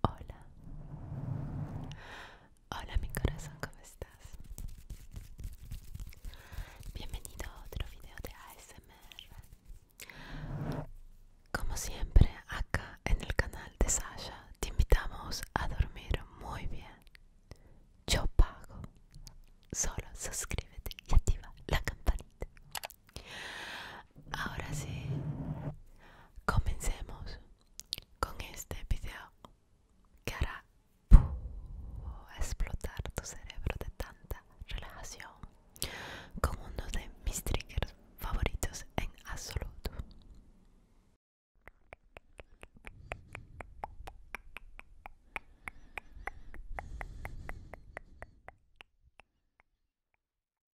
Hola, hola mi corazón, ¿cómo estás? Bienvenido a otro video de ASMR. Como siempre, acá en el canal de Sasha te invitamos a dormir muy bien. Yo pago. Solo suscríbete y activa la campanita. Ahora sí, comencemos con este video que hará explotar tu cerebro de tanta relajación con uno de mis triggers favoritos en absoluto.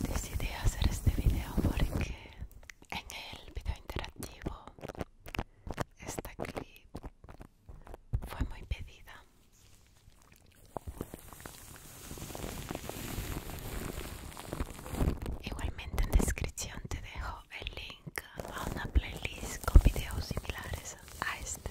Decidí hacer este video porque en el video interactivo esta clip fue muy pedida Igualmente en descripción te dejo el link a una playlist con videos similares a este.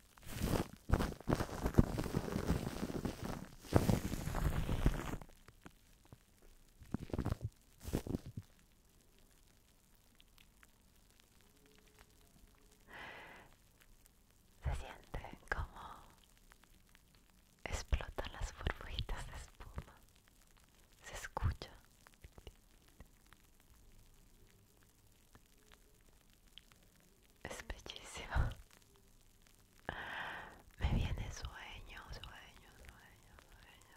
Se siente como explotan las burbujitas de espuma. Se escucha. Es bellísimo. Me viene sueño, sueño, sueño, sueño.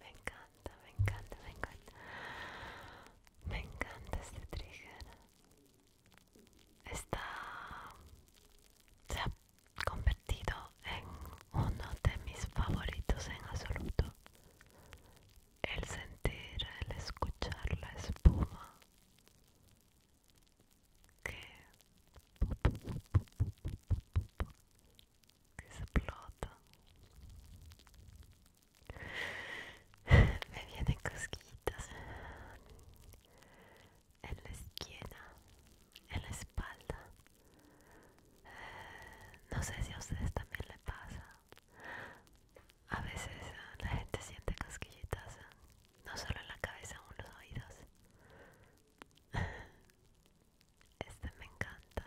Me encanta, me encanta, me encanta. Me encanta este trigger. Está convertido en uno de mis favoritos en absoluto. El sentir, el escuchar la espuma que, explota. Me vienen cosquillitas en la esquina, en la espalda. Eh, no sé si a ustedes también le pasa. A veces eh, la gente siente cosquillitas eh, no solo en la cabeza o en los oídos. Este me encanta.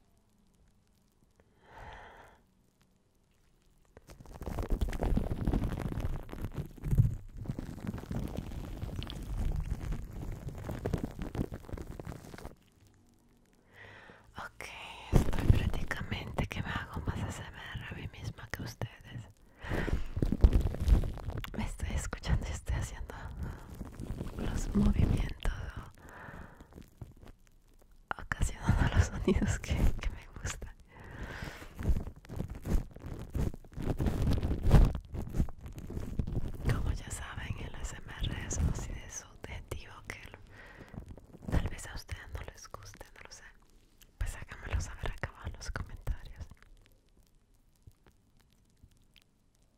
Ok, estoy prácticamente que me hago más ASMR a mí misma que ustedes. Me estoy escuchando y estoy haciendo los movimientos todo ocasionando los sonidos que, me gustan como ya saben el SMR es un subjetivo que tal vez a ustedes no les guste no lo sé pues háganmelo saber acá abajo en los comentarios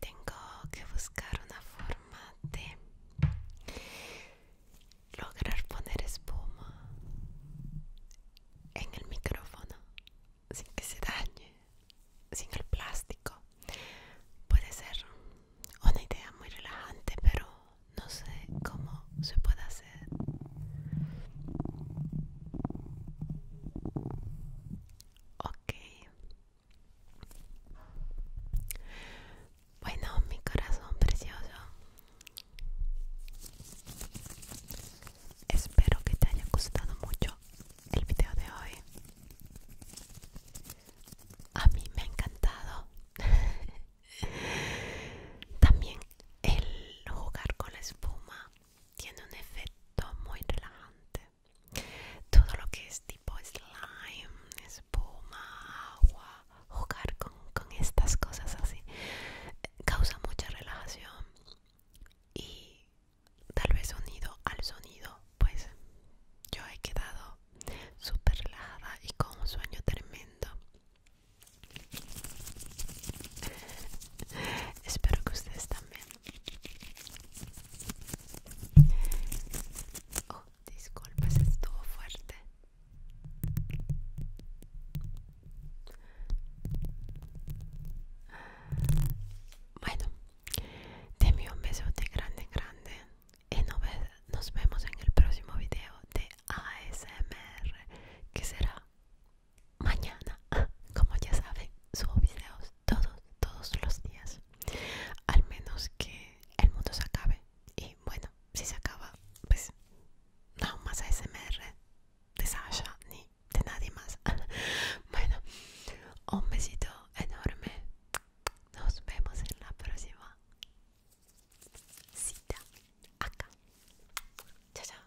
tengo que buscar una forma de lograr poner espuma en el micrófono sin que se dañe, sin el plástico. Puede ser una idea muy relajante, pero no sé cómo se puede hacer. Ok. Bueno, mi corazón precioso. Espero que te haya gustado mucho el video de hoy. A mí me ha encantado. También el jugar con la espuma tiene un efecto muy relajante. Todo lo que es tipo slime, espuma, agua, jugar con, estas cosas así causa mucha relajación y tal vez unido al sonido, pues yo he quedado súper relajada y con un sueño tremendo. Espero que ustedes también. Oh, disculpas, estuvo fuerte. Bueno, te un beso de grande, grande. Y nos vemos en el próximo video de ASMR, que será mañana como ya saben subo videos todos todos los días al menos que el mundo se acabe y bueno si se acaba pues nada más ASMR de Sasha ni de nadie más bueno un besito enorme nos vemos en la próxima cita acá chao